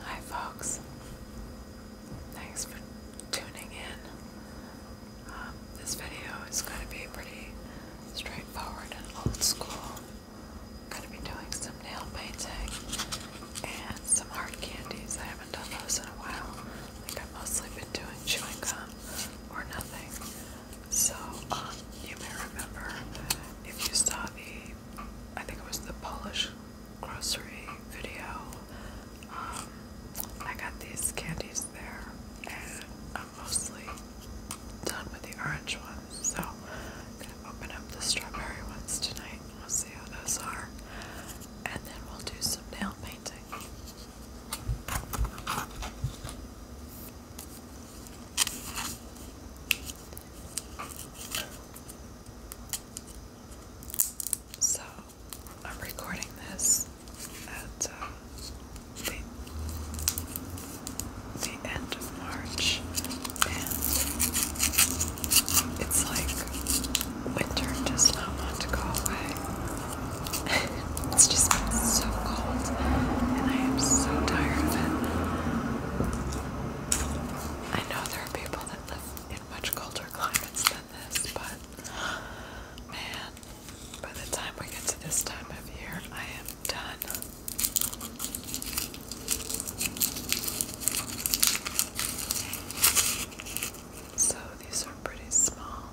Hi, folks. Thanks for tuning in. Um, this video is going to be pretty straightforward and old school. I'm going to be doing some nail painting and some hard candies. I haven't done those in a while. I think I've mostly been doing chewing gum or nothing. So, um, you may remember if you saw the, I think it was the Polish grocery video, um, I got these candies there, and I'm mostly done with the orange ones, so I'm gonna open up the strawberry ones tonight, we'll see how those are, and then we'll do some nail painting. So, I'm recording this at uh, the, the end of March, and it's like winter does not want to go away. it's just so cold and I am so tired of it. I know there are people that live in much colder climates than this, but man, by the time we get to this time of year, I am done. So these are pretty small,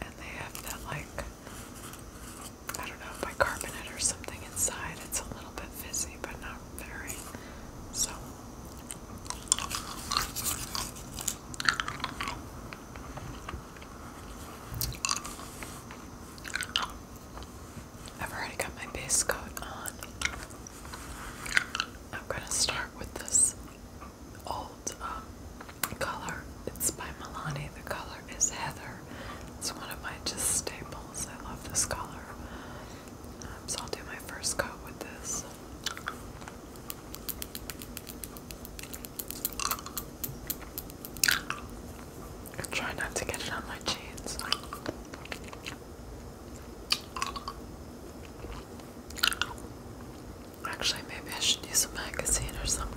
and they have that like I don't know, if I bicarbonate or something inside. It's a little bit fizzy, but not very. So. I've already got my base coat on. I'm going to start with this old um, color. It's by Milani. The color is Heather. It's one of my just staples. I love this color. Um, so I'll do my first coat with this. try not to get it on my jeans. Actually, maybe I should use a magazine or something.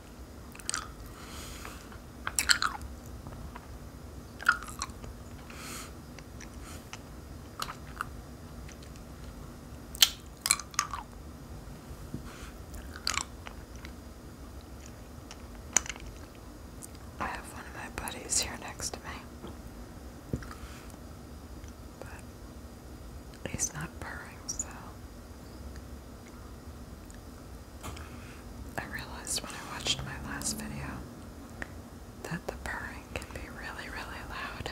I have one of my buddies here next to me. But he's not purring, so I realized when I watched my last video that the purring can be really, really loud.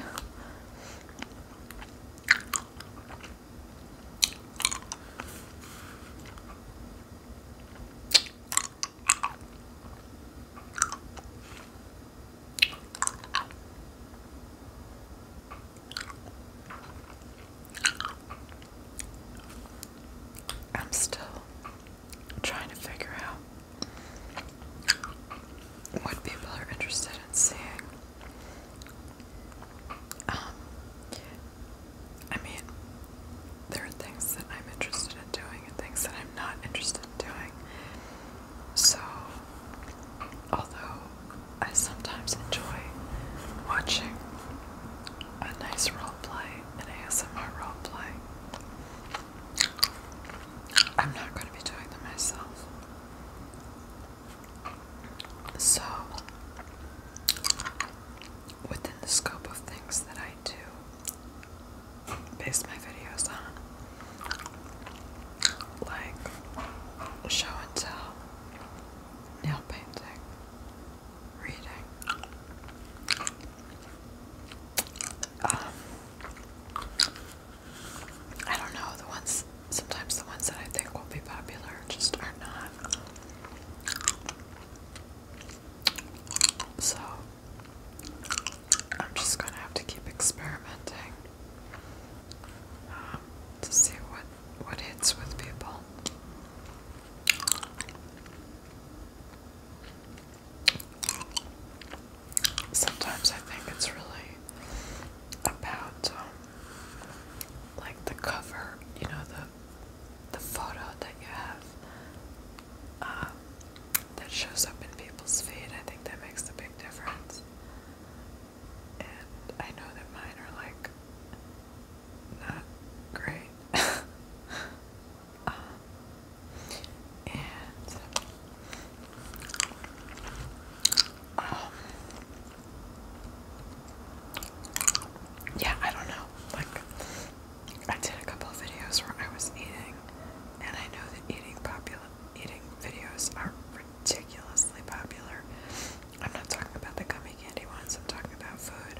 I'm still trying to figure out what people are interested in seeing. Um, I mean, there are things that I'm interested in doing and things that I'm not interested in doing. So, although I sometimes enjoy watching a nice roleplay, an ASMR roleplay. I'm not going to be doing them myself. So, within the scope of things that I do, base my videos on, like show and tell, nail painting, reading. Um, I don't know, the ones, sometimes the ones that I think will be popular just are not. So, I'm just gonna have to keep experimenting um, to see what what hits with people. Sometimes I think it's really about um, like the cover, you know, the the photo that you have um, that shows up in people's feed. I think that makes a big difference and I know that mine are like not great. Uh, and um, yeah, I don't know. Like, I did a couple of videos where I was eating, and I know that eating popular eating videos are ridiculously popular, I'm not talking about the gummy candy ones, I'm talking about food.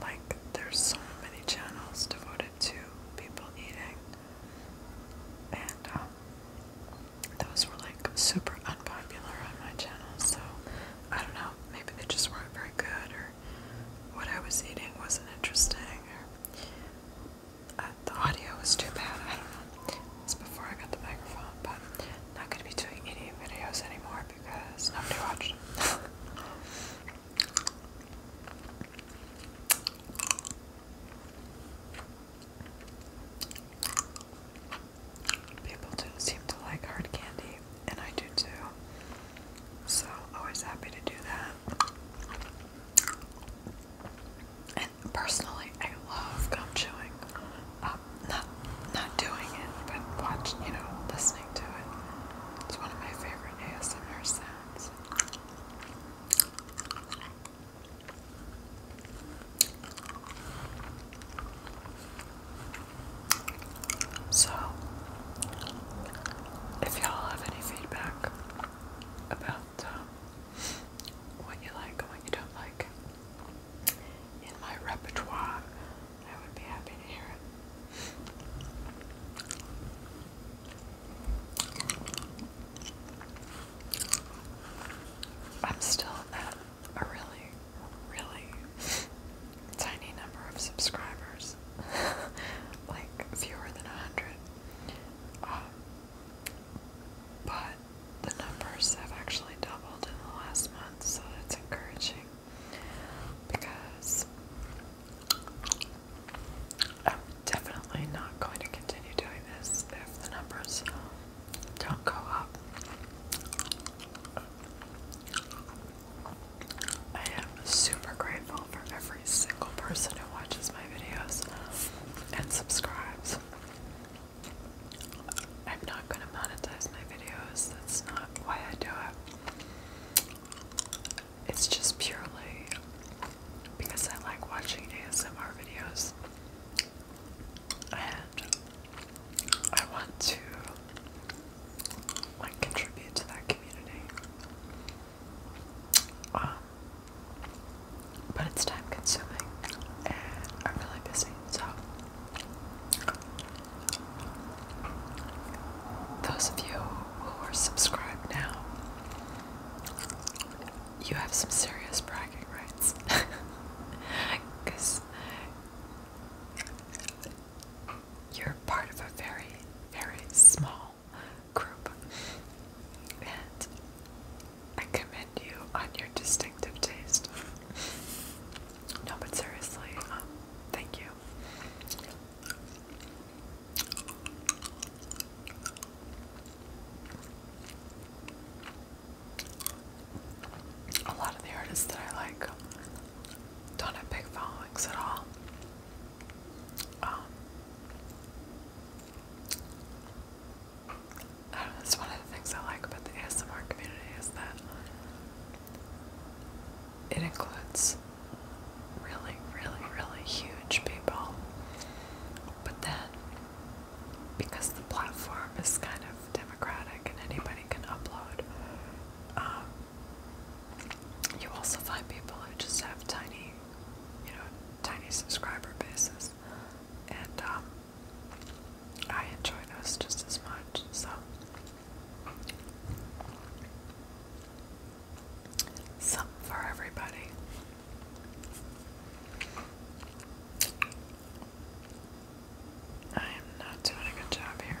Like, there's so many channels devoted to people eating, and um, those were like super unpopular on my channel, so I don't know, maybe they just weren't very good, or what I was eating wasn't interesting, or the audio was too bad. I don't know. It's before I got the microphone, but I'm not gonna be doing any videos anymore because nobody watched them. People do seem to like hard candy, and I do too. So always happy to do that. And personally, I love gum chewing. Um, not not doing it, but watch, you know, listening to it. It's one of my favorite ASMR sounds. So, if y'all have any feedback about um, what you like and what you don't like in my repertoire. I would be happy to hear it. I'm still at a really, really tiny number of subscribers, like fewer than a hundred. Um, but the numbers have actually doubled in the last month, so that's encouraging because I'm definitely not going to continue doing this if the numbers don't go up. I am super grateful for every single person who watches my videos and subscribes. I'm not going to monetize my videos. That's not why I do it. It's just purely because I like watching ASMR videos and I want to like contribute to that community. Um, but it's time consuming and I'm really busy, so those of you who are subscribed now, you have some serious bragging rights. Because you're part of a very, very small group. And I commend you on your distinctive taste. no, but seriously, um, thank you. A lot of the artists that I like don't have big followings at all. Um, I don't know, that's one of the things I like about the ASMR community is that it includes really, really, really huge people. But then, because the platform is kind of democratic and anybody can upload, um, you also find people who just have tiny, you know, tiny subscriber bases and um, I enjoy those just as much. So, something for everybody. I am not doing a good job here.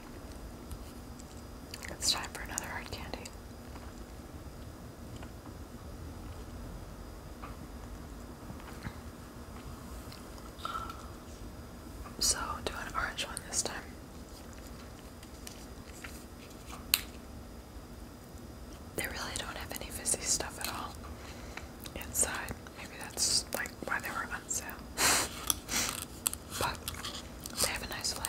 It's time for another hard candy. So, do an orange one this time. They really don't have any fizzy stuff at all inside. Maybe that's like why they were on they have a nice flavor.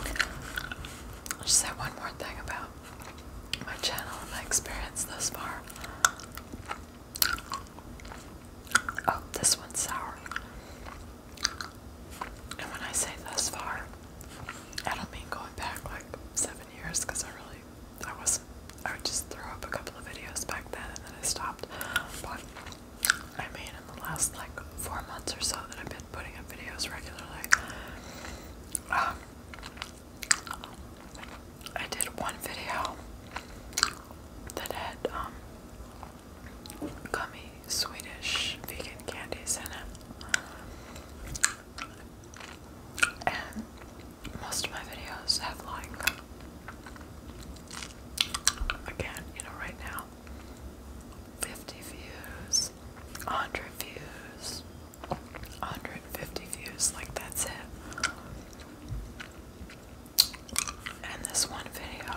I'll just say one more thing about my channel and my experience thus far. Oh, this one's sour. And when I say thus far, I don't mean going back like seven years because I really, I was I would just throw up a couple of videos back then and then I stopped. I mean, in the last like four months or so that I've been putting up videos regularly, um, I did one video that had um, gummy Swedish vegan candies in it. And most of my videos have like, again, you know, right now, 50 views, 100 views, 150 views, like that's it. And this one video,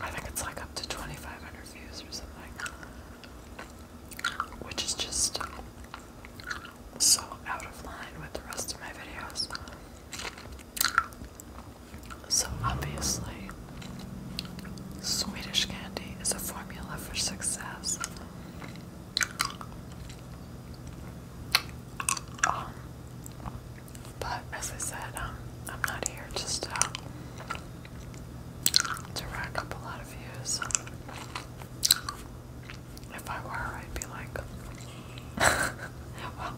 I think it's like up to 2,500 views or something, which is just so out of line with the rest of my videos. So obviously, Swedish candy is a formula for success. Um, but as I said, um, I'm not here just uh, to rack up a lot of views. If I were, I'd be like, well,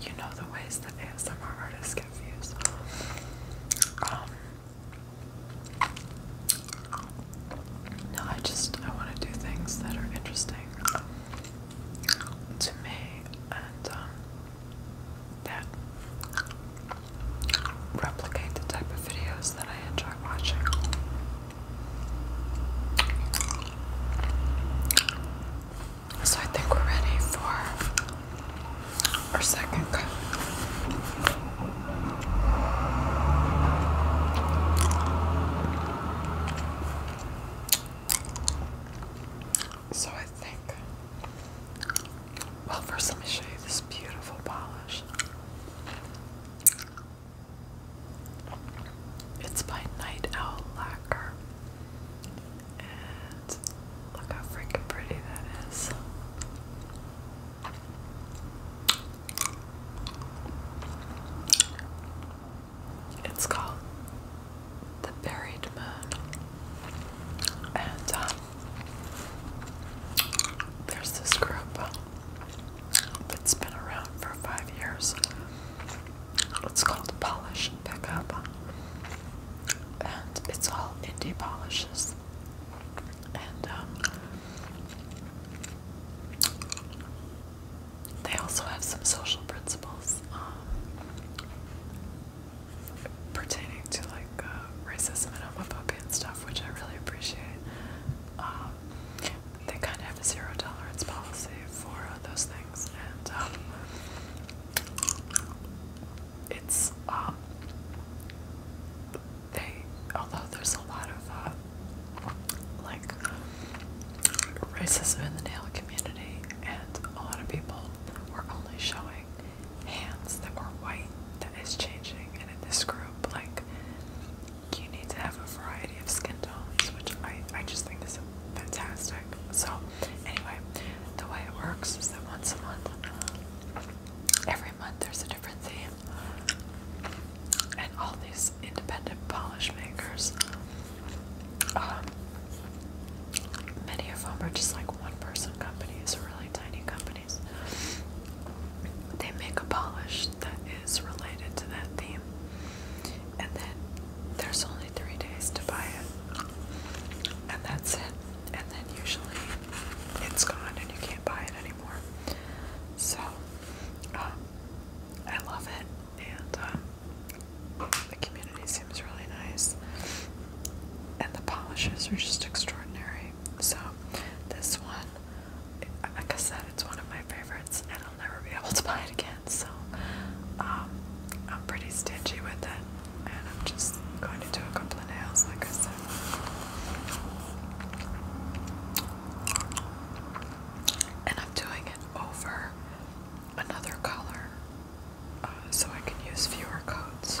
you know the ways that ASMR artists get views. Um, no, I just I want to do things that are interesting to me and um, that replicate the type of videos that I enjoy watching. So I think we're ready for our second cup. So I think, well, first let me show you this beautiful polish. It's by Night Owl Lacquer. And look how freaking pretty that is. It's called The Buried Moon. And um, there's this group that's been around for five years. It's called Polish Pickup, and it's all indie polishes. And um, they also have some social principles um, pertaining to like uh, racism and all that kind of stuff, which I really appreciate. Um, they kind of have a zero tolerance policy for those things, and um, it's um, they although there's a lot of uh, like racism in the nail community, and a lot of people were only showing hands that were white. That is changing, and in this group, like you need to have a variety of skin tones, which I, I just think is fantastic. So, anyway, the way it works is that once a month, um, every month there's a different theme, and all these independent polish makers, um, many of them are just like one person companies or really tiny companies. They make a polish that is related to that theme. And then there's only three days to buy it. And that's it. And then usually it's gone and you can't buy it anymore. So, um, I love it. And um, the community seems really nice. And the polishes are just extraordinary. So, this one, like I said, it's one of my favorites. I'll never be able to buy it again. So um, I'm pretty stingy with it, and I'm just going to do a couple of nails, like I said. And I'm doing it over another color uh, so I can use fewer coats.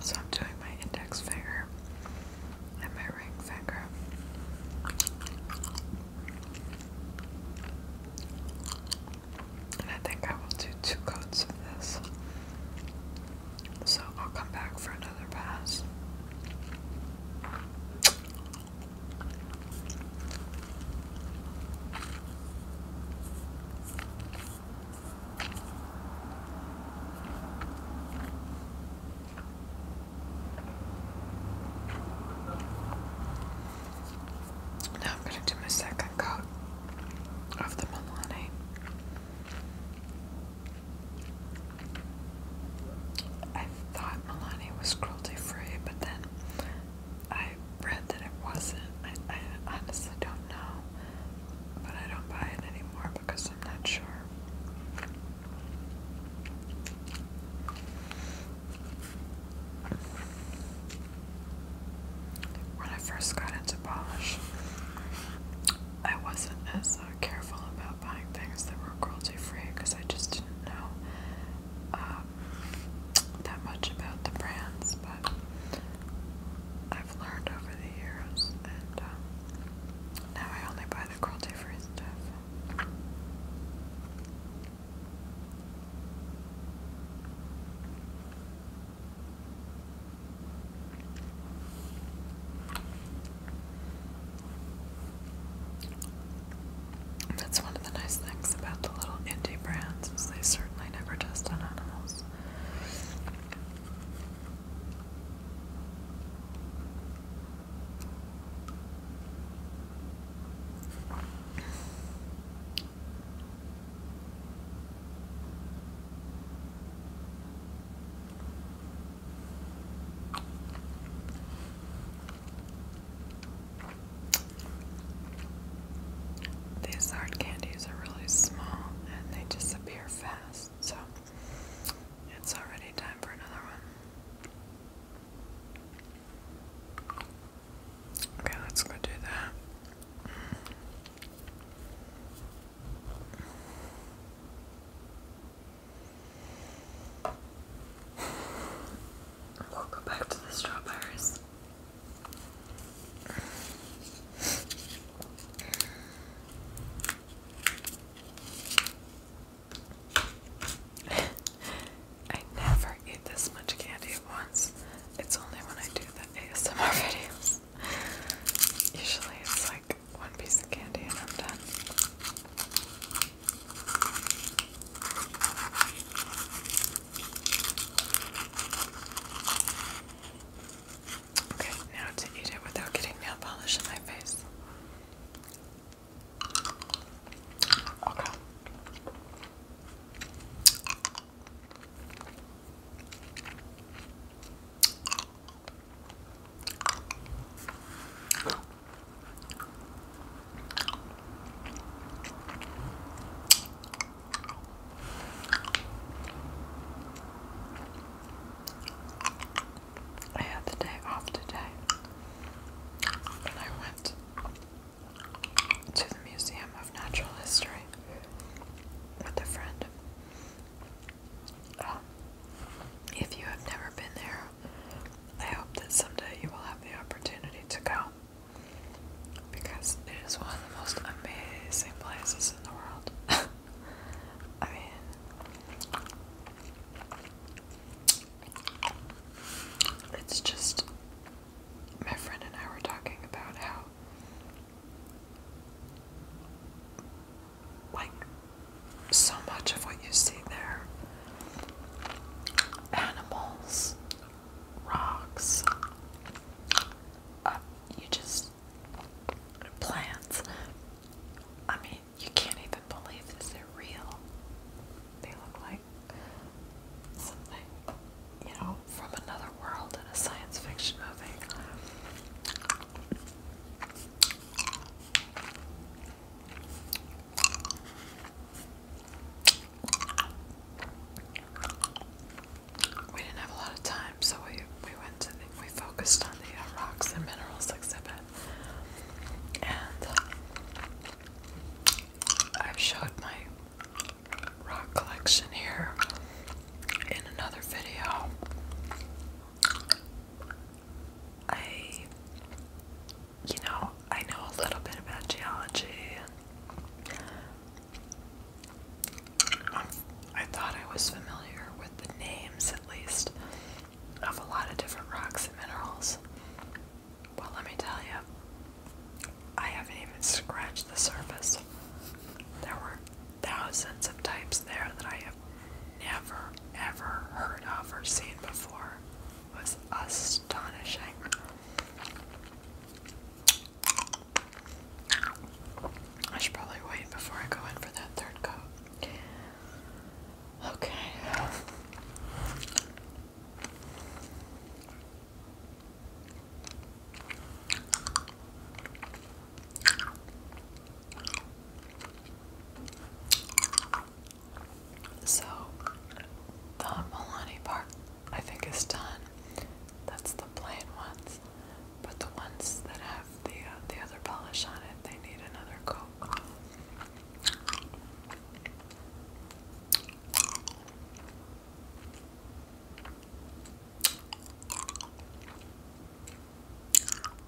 So I'm doing my index finger and my ring finger. And I think I will do two coats of this. So I'll come back for another pass. Now I'm going to do my second coat of the Milani. I thought Melania was cruelty free, but then I read that it wasn't. I, I honestly don't know, but I don't buy it anymore because I'm not sure. When I first got into polish, I wasn't as uh, careful about buying things that were cruelty free because I just didn't know um, that much about the brands. But I've learned over the years, and um, now I only buy the cruelty free stuff. That's one of the nice things about the little indie brands is they certainly never test on animals. These hard candies are really small and they disappear fast, so it's already time for another one. Okay, let's go do that. We'll go back to the strawberries. I never eat this much candy at once. It's only when I do the ASMR videos. Usually it's like one piece of candy and I'm done. Okay, now to eat it without getting nail polish in my face. Okay. I had the day off today, and I went to the Museum of Natural History with a friend. If you have never been there, I hope that someday you will have the opportunity to go because it is one of the most amazing places in the world. I mean, it's just my friend and I were talking about how like so much of what you see there animals, rocks, uh, you just plants. I mean, you can't even believe this. are real. They look like something you know, from another world in a science fiction movie. We didn't have a lot of time, so we we went to we focused on the uh, rocks and minerals exhibit, and I showed my rock collection here in another video. I, you know, I know a little bit about geology. I thought I was familiar with the names, at least, of a lot of different rocks and minerals. Well, let me tell you, I haven't even scratched the surface. There were thousands of types there that I have never ever heard of or seen before. It was astonishing. I should probably wait before I go in for that third coat. Okay. So the Milani part I think is done. That's the plain ones. But the ones that have the uh, the other polish on it, they need another coat.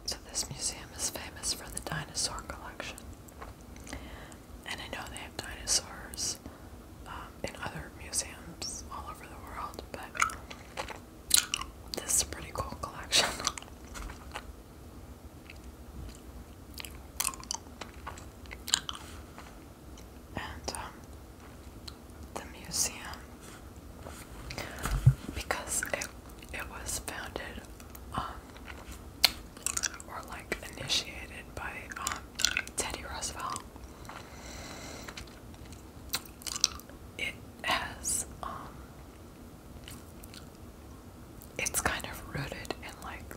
So, this museum is famous for the dinosaur collection. And I know they have dinosaurs um, in other museums all over the world, but this is a pretty cool collection. and um, the museum because it it was founded um, or like initiated by um, Teddy Roosevelt. It has um it's kind of rooted in like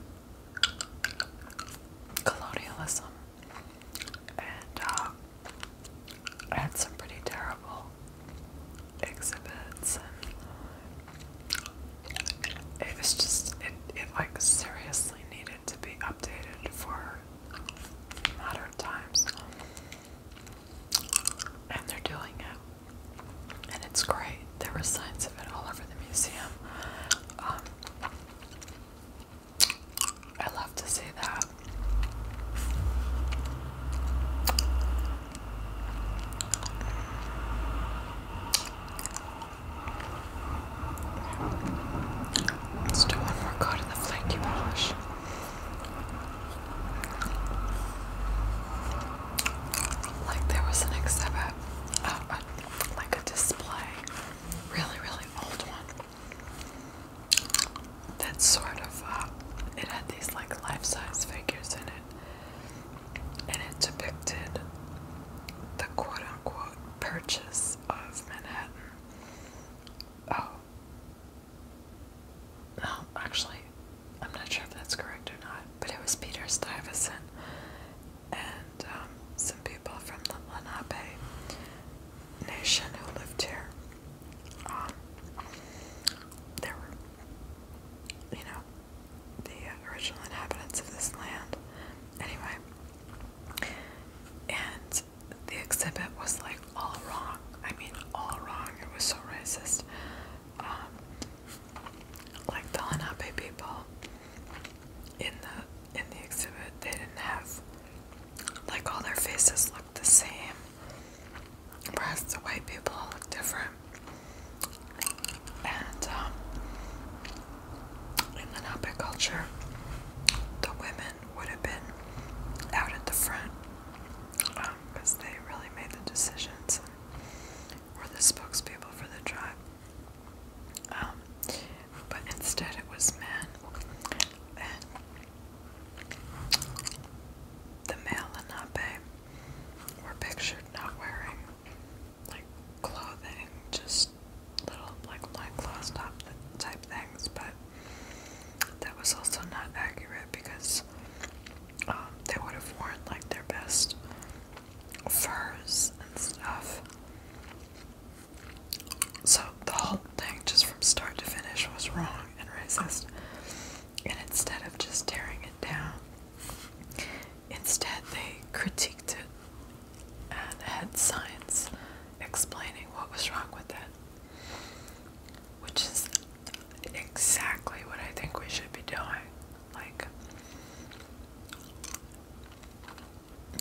colonialism and um, I had some pretty terrible exhibits, and it was just it, it like seriously needed to be updated for modern times, and they're doing it, and it's great. There were signs of it all over the museum. Um, I love to see that. Let's do one more coat of the flaky polish. Like there was an exhibit, uh, uh, like a display, really, really old one that sort of, uh, it had these like life-size figures in it, and it depicted the quote-unquote purchase of Manhattan. Oh. No, actually, I'm not sure if that's correct or not, but it was Peter Stuyvesant and um, some people from the Lenape nation who lived here. Um, there were, you know, the original inhabitants of this land. Anyway, and the exhibit was like all wrong. I mean, all wrong. It was so racist. Um, like the Lenape people in the in the exhibit, they didn't have like all their faces looked the same, whereas the white people all look different. And um, in the Napi culture, the women would have been out at the front because um, they really made the decisions and were the spokespeople for the tribe. Um, but instead, it was men, the male were pictured not wearing like clothing, just little like loincloth type things. But that was also not accurate because um, they would have worn like their best furs and stuff. So the whole thing, just from start to finish, was wrong and racist. And instead of just tearing it down, instead they critiqued it and had signs explaining what was wrong with it, which is exactly what I think we should be doing. Like,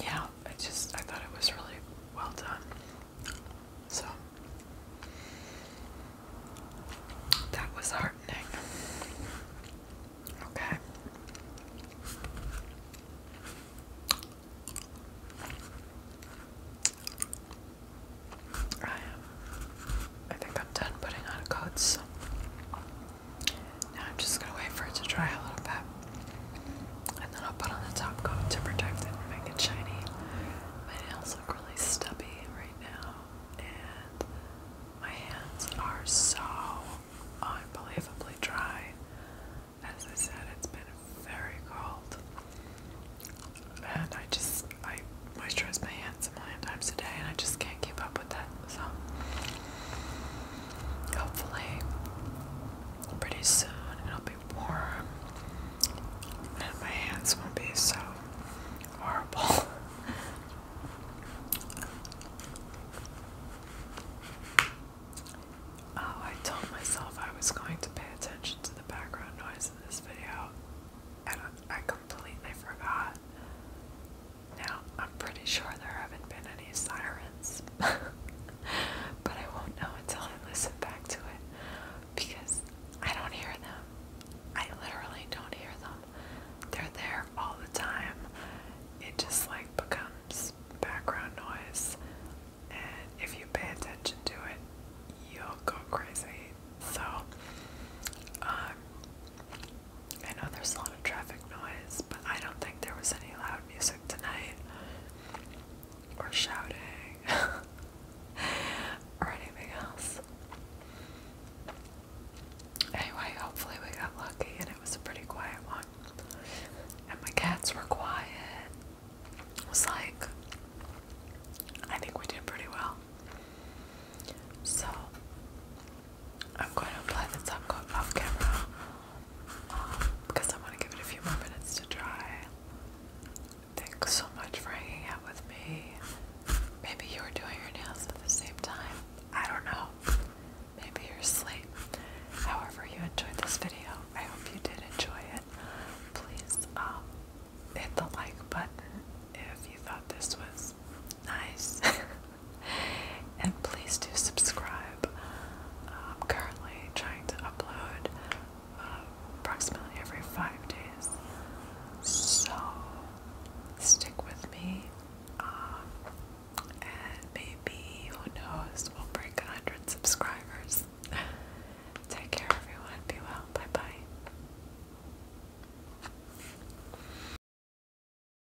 yeah, I just I thought it was really well done. So that was heartening. Okay. I am. I think I'm done putting on coats. Now I'm just gonna wait for it to dry a little bit. And then I'll put on the top coat to protect it and make it shiny. My nails look really stubby right now. And my hands are so unbelievably dry. As I said, it's been very cold. And I just, I moisturize my hands a million times a day and I just can't keep up with that. So, Hopefully, pretty soon it'll be warm and my hands won't be so horrible. Oh, I told myself I was going to pay attention to the background noise in this video, and I completely forgot. Now, I'm pretty sure there haven't been any sirens, but I won't know until I listen back to it because I don't hear them. I literally don't hear them. They're there all the time. It just like becomes background noise, and if you pay attention to it, you'll go crazy. So, um, I know there's a lot of traffic noise, but I don't think there was any loud music tonight. Or shouting. or anything else. Anyway, hopefully we got lucky and it was a pretty quiet one. And my cats were quiet. It was like, I think we did pretty well. So, I'm going to apply the top coat off camera um, because I want to give it a few more minutes to dry. Thanks so much for hanging out with me. Maybe you were doing your nails at the same time. I don't know. Maybe you're asleep. However, you enjoyed this video. I hope you did enjoy it. Please um, hit the like button if you thought this was nice. and please do subscribe. I'm currently trying to upload uh, approximately every five days, so stick with me. Um, and maybe, who knows, we'll break 100 subscribers. Take care, everyone. Be well. Bye bye.